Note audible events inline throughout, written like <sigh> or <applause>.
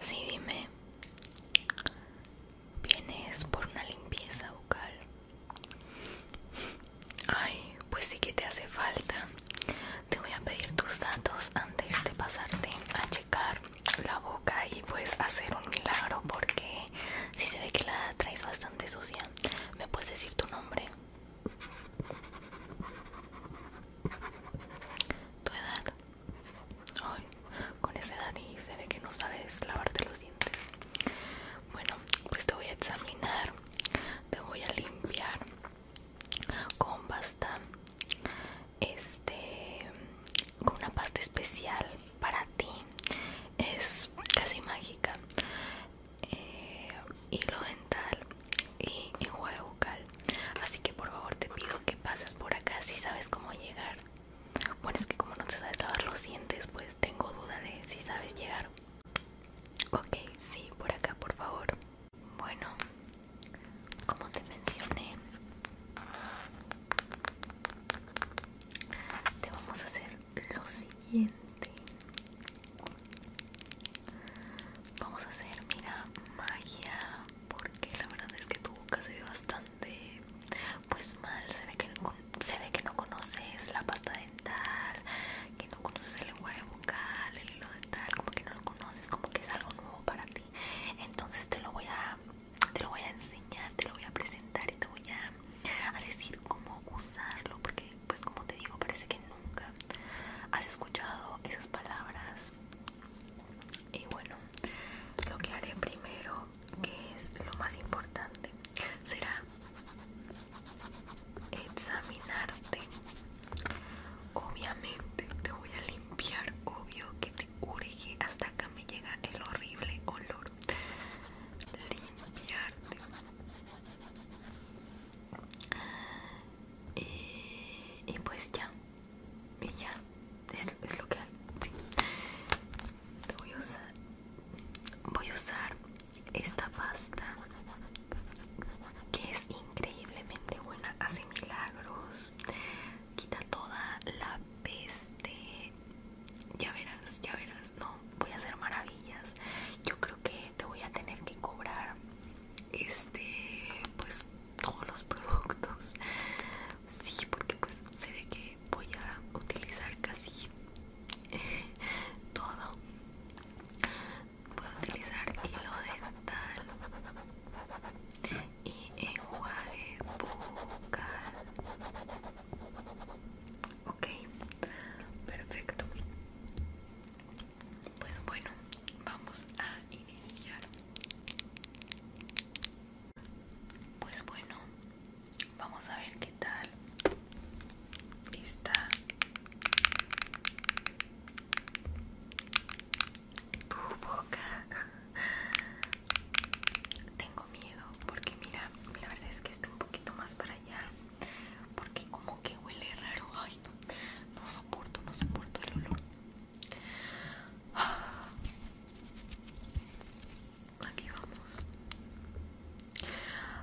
Sí, dime. ¿Vienes por una limpieza bucal? Ay, pues sí que te hace falta. Te voy a pedir tus datos antes de pasarte a checar la boca y pues hacer un milagro porque si se ve que la traes bastante sucia. ¿Me puedes decir tu nombre? ¿Tu edad? con esa edad y se ve que no sabes lavarte los dientes. Bueno, pues te voy a examinar, te voy a limpiar con pasta este con una pasta especial para ti es casi mágica eh, hilo dental y enjuague bucal así que por favor te pido que pases por acá si sabes cómo llegar bueno es que como no te sabes lavar los dientes pues tengo duda de si sabes llegar ok sí por acá por favor bueno como te mencioné te vamos a hacer lo siguiente vamos a hacer mira magia porque la verdad es que tu boca se ve bastante pues mal se ve que no, se ve que no conoces la pasta dental que no conoces el lenguaje vocal el hilo dental como que no lo conoces como que es algo nuevo para ti entonces te lo voy a enseñar, te lo voy a presentar y te voy a decir cómo usarlo, porque pues como te digo, parece que nunca has escuchado esas palabras. Y bueno, lo que haré primero, que es lo más importante, será examinarte Obviamente te voy a limpiar, obvio que te urge, hasta acá me llega el horrible olor. Limpiarte. Eh, y, pues ya, y ya, es, lo que hay. Te voy a usar, voy a usar esta pasta que es increíblemente buena, hace milagros quita toda la peste. Ya verás, ya verás. No, voy a hacer maravillas. Yo creo que te voy a tener que cobrar este, pues todos los productos. Sí, porque pues se ve que voy a utilizar casi <laughs> todo puedo utilizar hilo dental y enjuague bucal ok perfecto pues bueno vamos a iniciar pues bueno vamos a ver qué tal está tu boca. Tengo miedo porque mira, la verdad es que está un poquito más para allá. Porque como que huele raro. Ay, no, no soporto, no soporto el olor. Aquí vamos.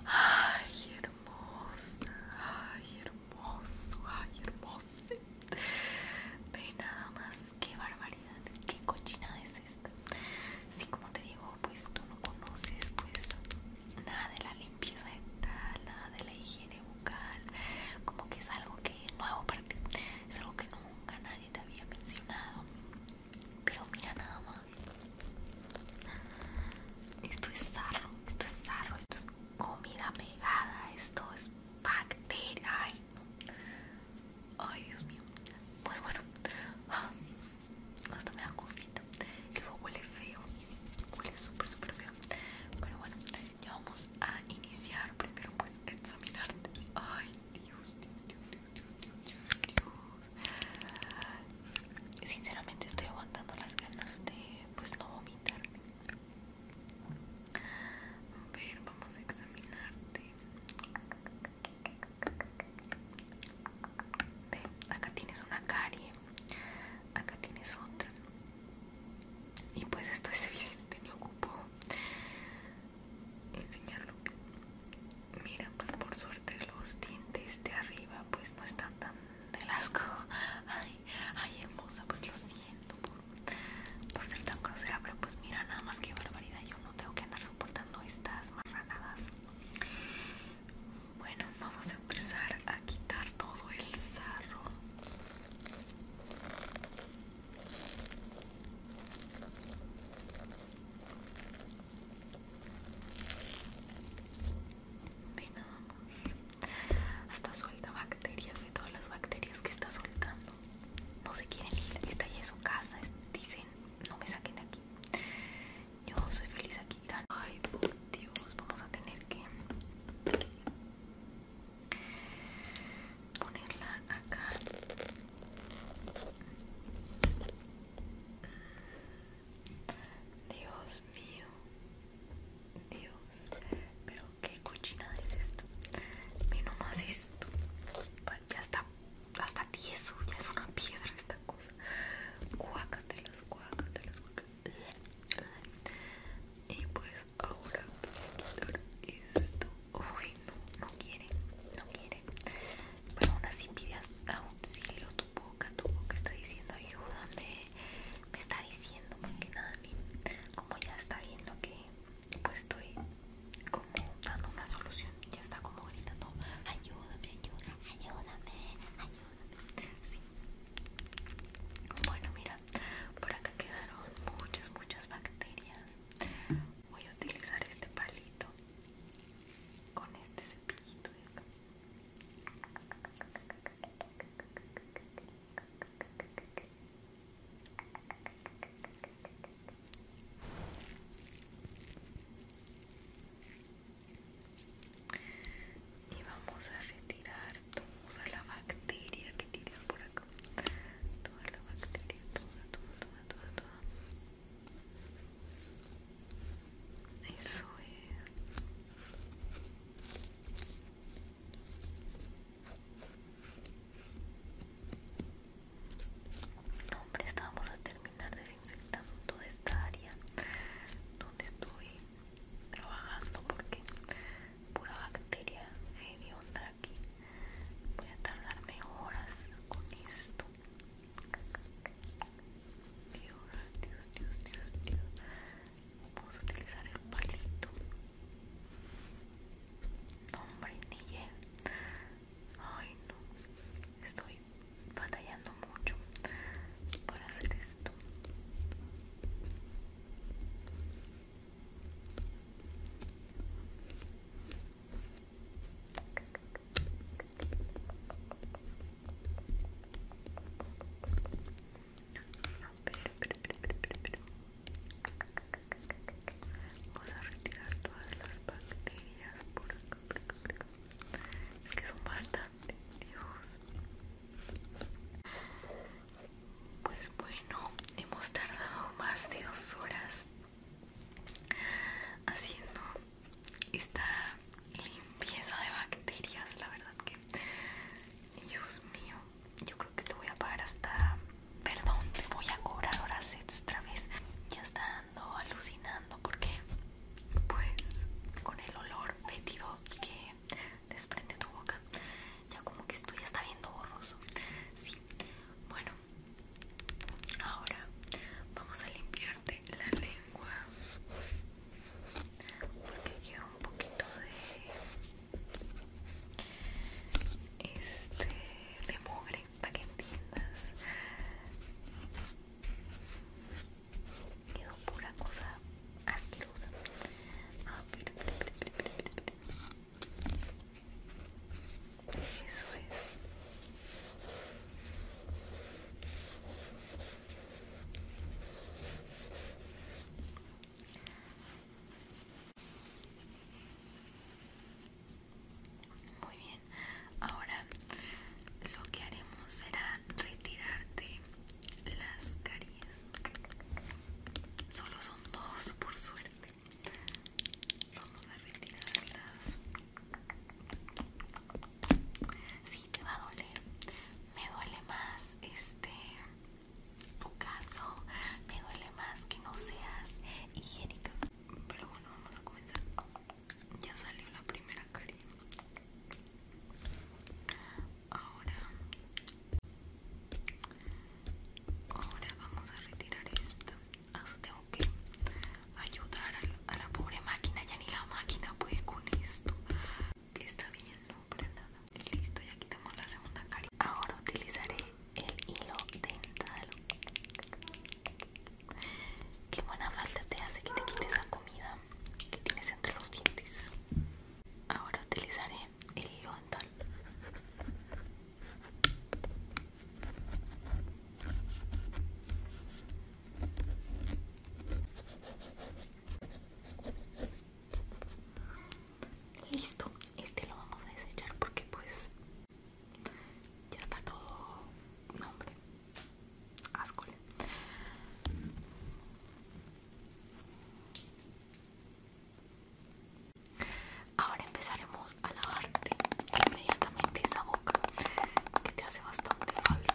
Ay, hermosa. Ay, hermoso, ay, hermoso. Ve nada más, qué barbaridad, qué cochina es esta. así como te digo, pues tú no conoces pues nada de la limpieza dental, nada de la higiene bucal. Como que es algo que nuevo para ti, es algo que nunca nadie te había mencionado. Pero mira nada más. Esto es sarro, esto es sarro, esto es comida pegada, esto es bacteria. Ay, Dios mío. Pues bueno, ah, hasta me da cosita. El huele feo, huele súper, súper feo. Pero bueno, ya vamos a iniciar primero, pues, examinarte. Ay, Dios, Dios, Dios, Dios, Dios, Dios. Sinceramente, estoy aguantando las ganas de pues no vomitar. A ver, vamos a examinarte. Ve, acá tienes una carie, acá tienes otra. Y pues esto es evidente, me ocupo enseñarlo. Mira, pues por suerte los dientes de arriba pues no están tan del Ay, ay, hermosa, pues lo siento por, ser tan grosera, pero pues mira, nada más que barbaridad. Yo no tengo que andar soportando estas marranadas. Bueno, vamos a empezar a quitar todo el sarro. Venamos Hasta suelta bacterias, de todas las bacterias que está soltando. No se quieren ir, está ya en su casa. Dicen, no me saquen de aquí. Yo soy feliz aquí. Ay, por Dios, vamos a tener que ponerla acá. Dios mío, Dios, pero qué cochinada es esto. Y nomás esto. Ya está hasta tieso, ya es una piedra esta cosa. Cuácatelas, cuácatelas, cuácatelas. Y pues ahora esto. Uy, no, no quiere, no quiere pero aún así pide auxilio tu boca, tu boca está diciendo ayúdame, me está diciendo que nada, como ya está viendo que pues estoy como dando una solución, ya está como gritando ayúdame, ayúdame, ayúdame, ayúdame, sí. Bueno, mira, por acá quedaron muchas, muchas bacterias. Voy a utilizar este palito con este cepillito de acá. Y vamos a retirar toda la bacteria que tienes por acá. Toda la bacteria, toda, toda, toda, toda, toda. Eso es. No, hombre, estamos a terminar desinfectando toda esta área donde estoy trabajando porque pura bacteria hedionda aquí. Voy a tardarme horas con esto. Dios, Dios, Dios, Dios, Dios. Vamos a utilizar el palito. hombre, ni Ay, no. Estoy batallando mucho para hacer esto. Vamos a retirar todas las bacterias Es que son bastante, Dios. Pues bueno, hemos tardado más de dos horas haciendo esta limpieza de bacterias la verdad que Dios mío yo creo que te voy a pagar hasta perdón te voy a cobrar horas extra vez ya está ando alucinando porque pues con el olor metido que desprende tu boca ya como que esto ya está viendo borroso sí bueno Ahora vamos a limpiarte la lengua porque quedó un poquito de este de mugre para que entiendas quedó pura cosa asquerosa muy bien. Ahora lo que haremos será retirarte las caries. Solo son dos, por suerte. Vamos a retirarlas. si te va a doler. Me duele más este tu caso. Me duele más que no seas higiénica. Pero bueno, vamos a comenzar. Ya salió la primera carita Ahora, ahora vamos a retirar esta. Ah, tengo que ayudar a, la pobre máquina ya ni la máquina puede con esto está bien no para nada listo ya quitamos la segunda cara ahora utilizaré el hilo dental qué buena falta te hace que te quites la comida que tienes entre los dientes ahora utilizaré el hilo dental Listo, este lo vamos a desechar porque pues ya está todo nombre. Ascole. Ahora empezaremos a lavarte inmediatamente esa boca que te hace bastante falta.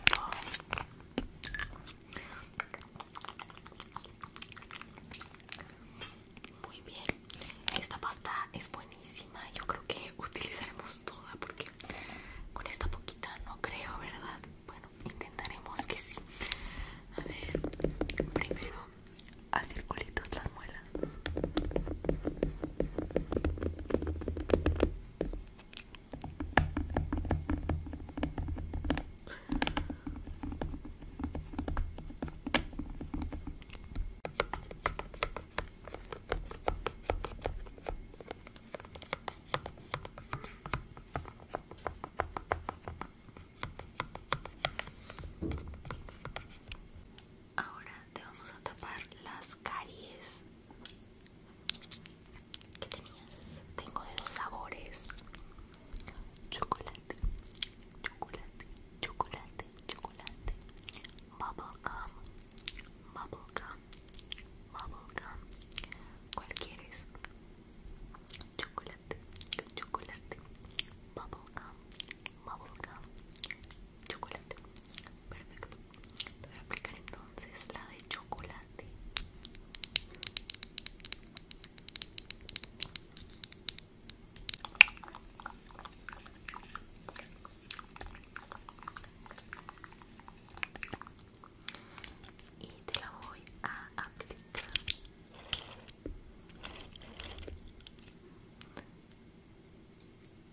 Muy bien, esta pasta es buenísima. Yo creo que utilizaremos toda porque con esta poquita no creo, ¿verdad? Bueno, intentaremos que sí. A ver, primero a circulitos las muelas. Ahora te vamos a tapar las caries que tenías. Tengo de dos sabores. Chocolate, chocolate, chocolate, chocolate. Bubblegum, bubblegum, bubblegum. ¿Cuál quieres? Chocolate chocolate, gum bubblegum, bubblegum, chocolate. Perfecto. Te voy a aplicar entonces la de chocolate. Y te la voy a aplicar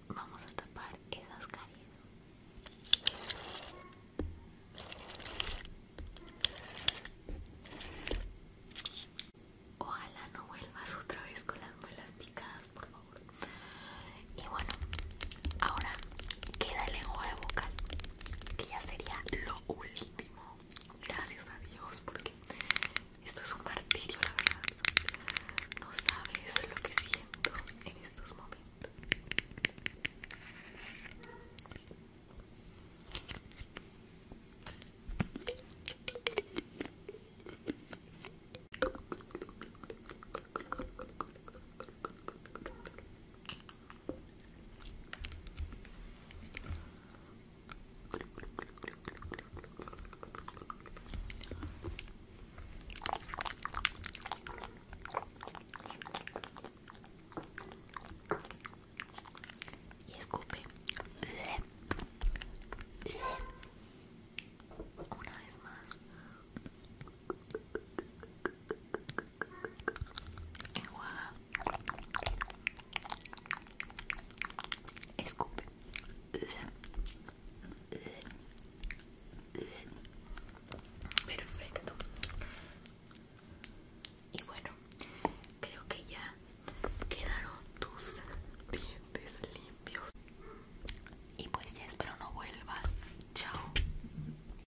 Vamos a tapar esas caries. Ojalá no vuelvas otra vez con las muelas picadas, por favor. Y bueno, ahora queda el lenguaje vocal, que ya sería lo último gracias a Dios, porque esto es un martirio, la verdad. No sabes lo que siento en estos momentos. Y escupe una vez más enjuaga perfecto y bueno creo que ya quedaron tus dientes limpios y pues ya espero no vuelvas chao